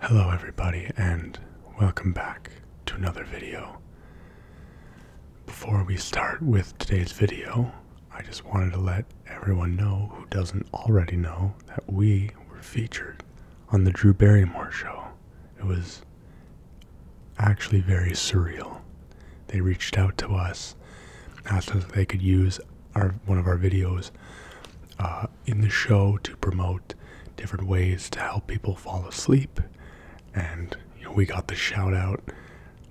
Hello everybody and welcome back to another video. Before we start with today's video, I just wanted to let everyone know who doesn't already know that we were featured on the Drew Barrymore show. It was actually very surreal. They reached out to us, asked us if they could use one of our videos uh, in the show to promote different ways to help people fall asleep, and we got the shout out.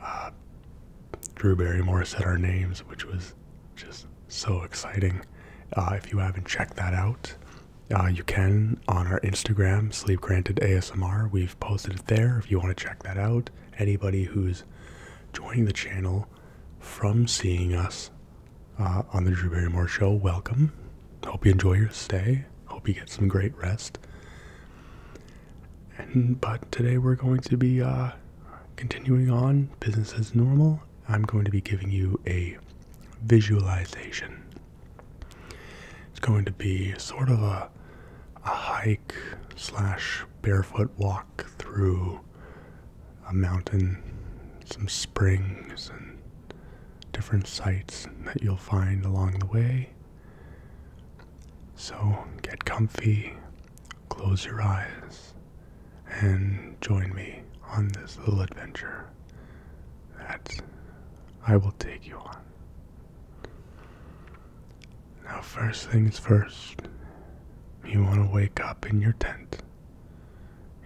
Uh, Drew Barrymore said our names, which was just so exciting. Uh, if you haven't checked that out, uh, you can on our Instagram, Sleep Granted ASMR. We've posted it there if you want to check that out. Anybody who's joining the channel from seeing us uh, on the Drew Barrymore Show. Welcome. Hope you enjoy your stay. Hope you get some great rest. And but today we're going to be uh, continuing on business as normal. I'm going to be giving you a visualization. It's going to be sort of a, a hike slash barefoot walk through a mountain, some springs, and different sights that you'll find along the way. So get comfy, close your eyes, and join me on this little adventure that I will take you on. Now, first things first, you want to wake up in your tent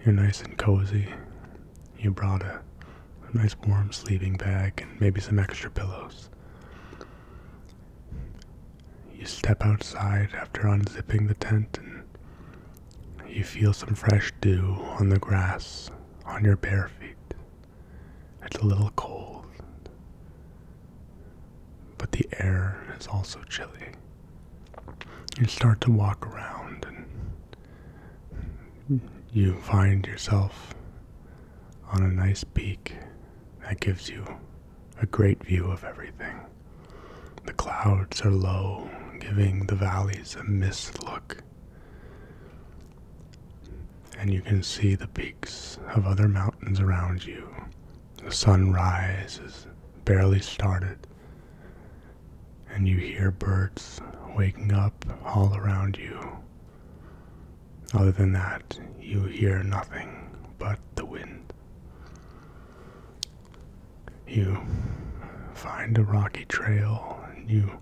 you're nice and cozy. You brought a, nice warm sleeping bag and maybe some extra pillows. You step outside after unzipping the tent and you feel some fresh dew on the grass on your bare feet. It's a little cold but the air is also chilly. You start to walk around and you find yourself on a nice peak that gives you a great view of everything. The clouds are low, giving the valleys a mist look. And you can see the peaks of other mountains around you the sunrise is barely started, and you hear birds waking up all around you. Other than that, you hear nothing but the wind. You find a rocky trail and you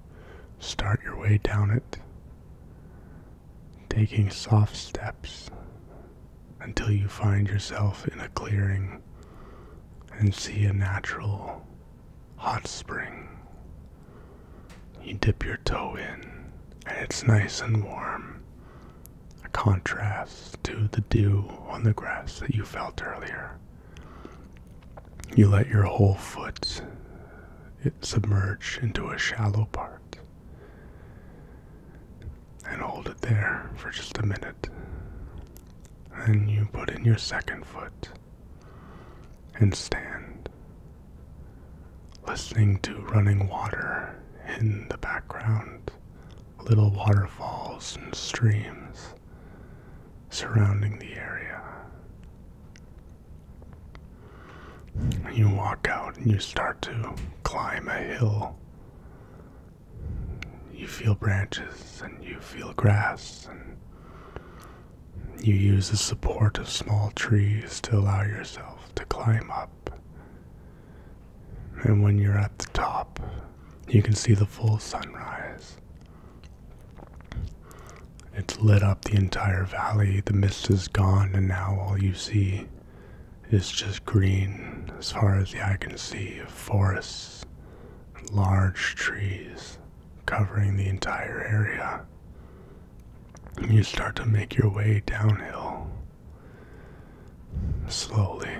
start your way down it, taking soft steps until you find yourself in a clearing and see a natural hot spring. You dip your toe in, and it's nice and warm, a contrast to the dew on the grass that you felt earlier. You let your whole foot submerge into a shallow part and hold it there for just a minute. Then you put in your second foot and stand, listening to running water in the background, little waterfalls and streams surrounding the area. You walk out and you start to climb a hill you feel branches and you feel grass, and you use the support of small trees to allow yourself to climb up. And when you're at the top, you can see the full sunrise. It's lit up the entire valley, the mist is gone, and now all you see is just green as far as the eye can see of forests and large trees covering the entire area. And you start to make your way downhill slowly.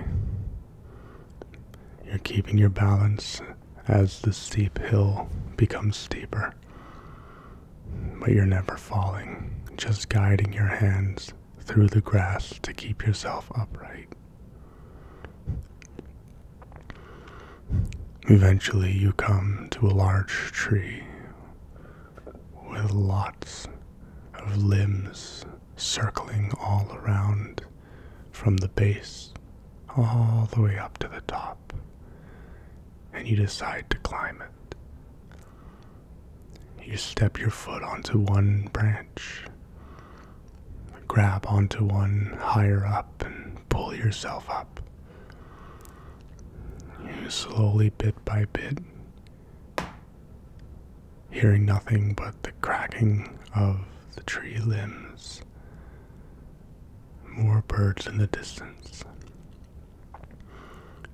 You're keeping your balance as the steep hill becomes steeper. But you're never falling, just guiding your hands through the grass to keep yourself upright. Eventually, you come to a large tree with lots of limbs circling all around from the base all the way up to the top, and you decide to climb it. You step your foot onto one branch, grab onto one higher up, and pull yourself up. You slowly, bit by bit, hearing nothing but the cracking of the tree limbs, more birds in the distance,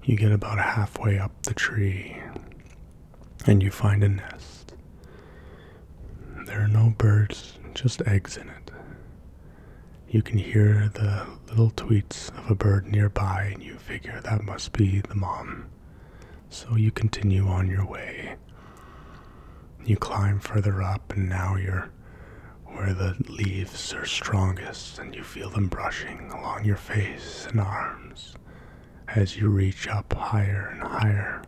you get about halfway up the tree and you find a nest. There are no birds, just eggs in it. You can hear the little tweets of a bird nearby, and you figure that must be the mom. So you continue on your way. You climb further up, and now you're where the leaves are strongest, and you feel them brushing along your face and arms as you reach up higher and higher.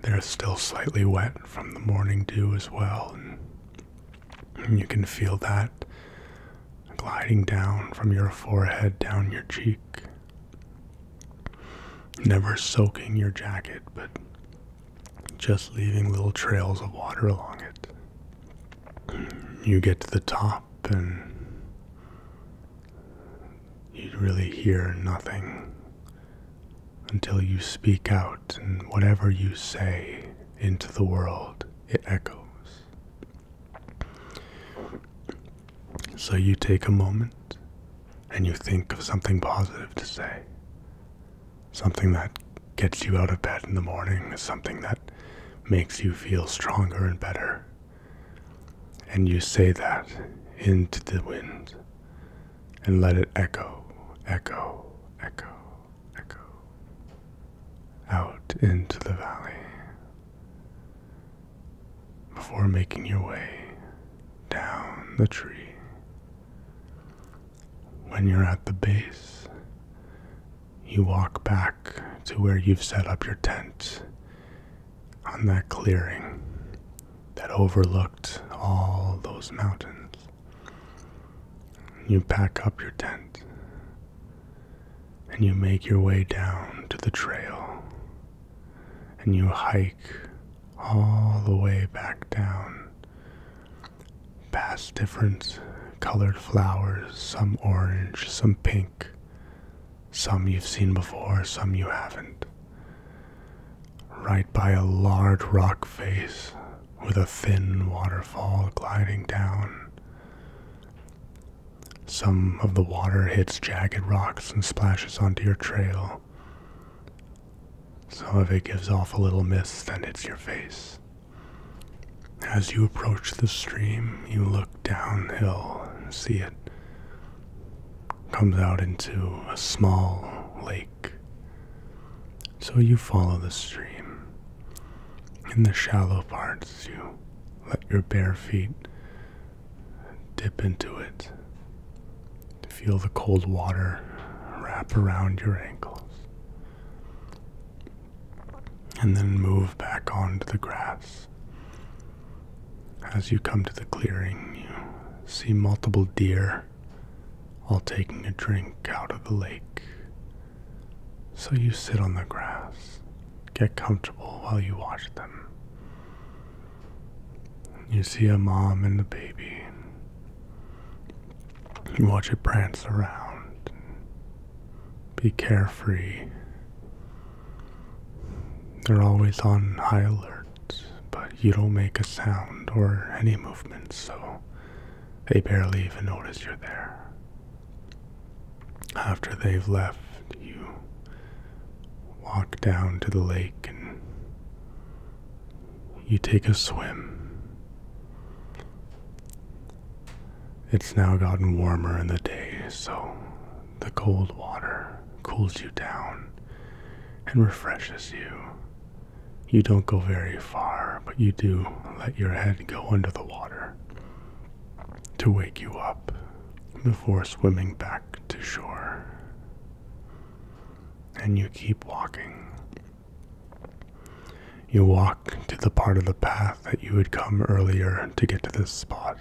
They're still slightly wet from the morning dew as well, and you can feel that gliding down from your forehead down your cheek. Never soaking your jacket, but just leaving little trails of water along it you get to the top and you really hear nothing until you speak out, and whatever you say into the world, it echoes. So you take a moment and you think of something positive to say. Something that gets you out of bed in the morning, something that makes you feel stronger and better. And you say that into the wind and let it echo, echo, echo, echo out into the valley before making your way down the tree when you're at the base, you walk back to where you've set up your tent on that clearing that overlooked all those mountains. You pack up your tent and you make your way down to the trail and you hike all the way back down past different colored flowers, some orange, some pink, some you've seen before, some you haven't. Right by a large rock face with a thin waterfall gliding down. Some of the water hits jagged rocks and splashes onto your trail. Some of it gives off a little mist and hits your face. As you approach the stream, you look downhill and see it comes out into a small lake. So you follow the stream. In the shallow parts, you let your bare feet dip into it. Feel the cold water wrap around your ankles and then move back onto the grass. As you come to the clearing, you see multiple deer all taking a drink out of the lake. So you sit on the grass, get comfortable while you watch them. You see a mom and a baby you watch it prance around. Be carefree. They're always on high alert, but you don't make a sound or any movement, so they barely even notice you're there. After they've left, you walk down to the lake and you take a swim. It's now gotten warmer in the day, so the cold water cools you down and refreshes you. You don't go very far, but you do let your head go under the water to wake you up before swimming back to shore. And you keep walking you walk to the part of the path that you had come earlier to get to this spot,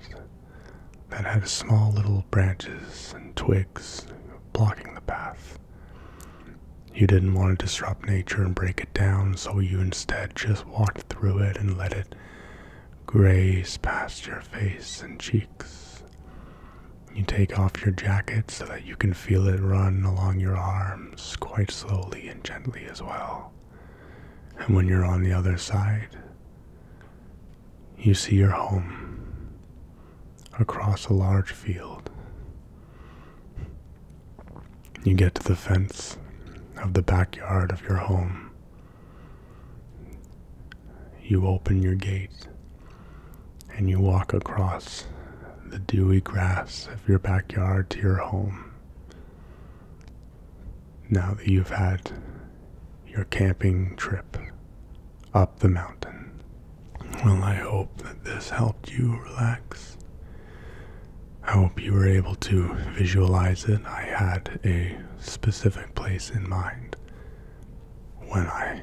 that had small little branches and twigs blocking the path. You didn't want to disrupt nature and break it down, so you instead just walked through it and let it graze past your face and cheeks. You take off your jacket so that you can feel it run along your arms quite slowly and gently as well. And when you're on the other side, you see your home across a large field. You get to the fence of the backyard of your home. You open your gate and you walk across the dewy grass of your backyard to your home. Now that you've had your camping trip up the mountain. Well, I hope that this helped you relax. I hope you were able to visualize it. I had a specific place in mind when I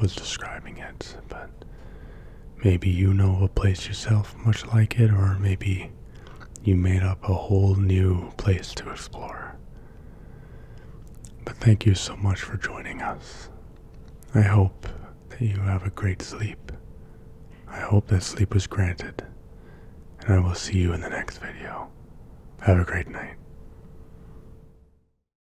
was describing it, but maybe you know a place yourself much like it, or maybe you made up a whole new place to explore. But thank you so much for joining us. I hope that you have a great sleep. I hope that sleep was granted, and I will see you in the next video. Have a great night.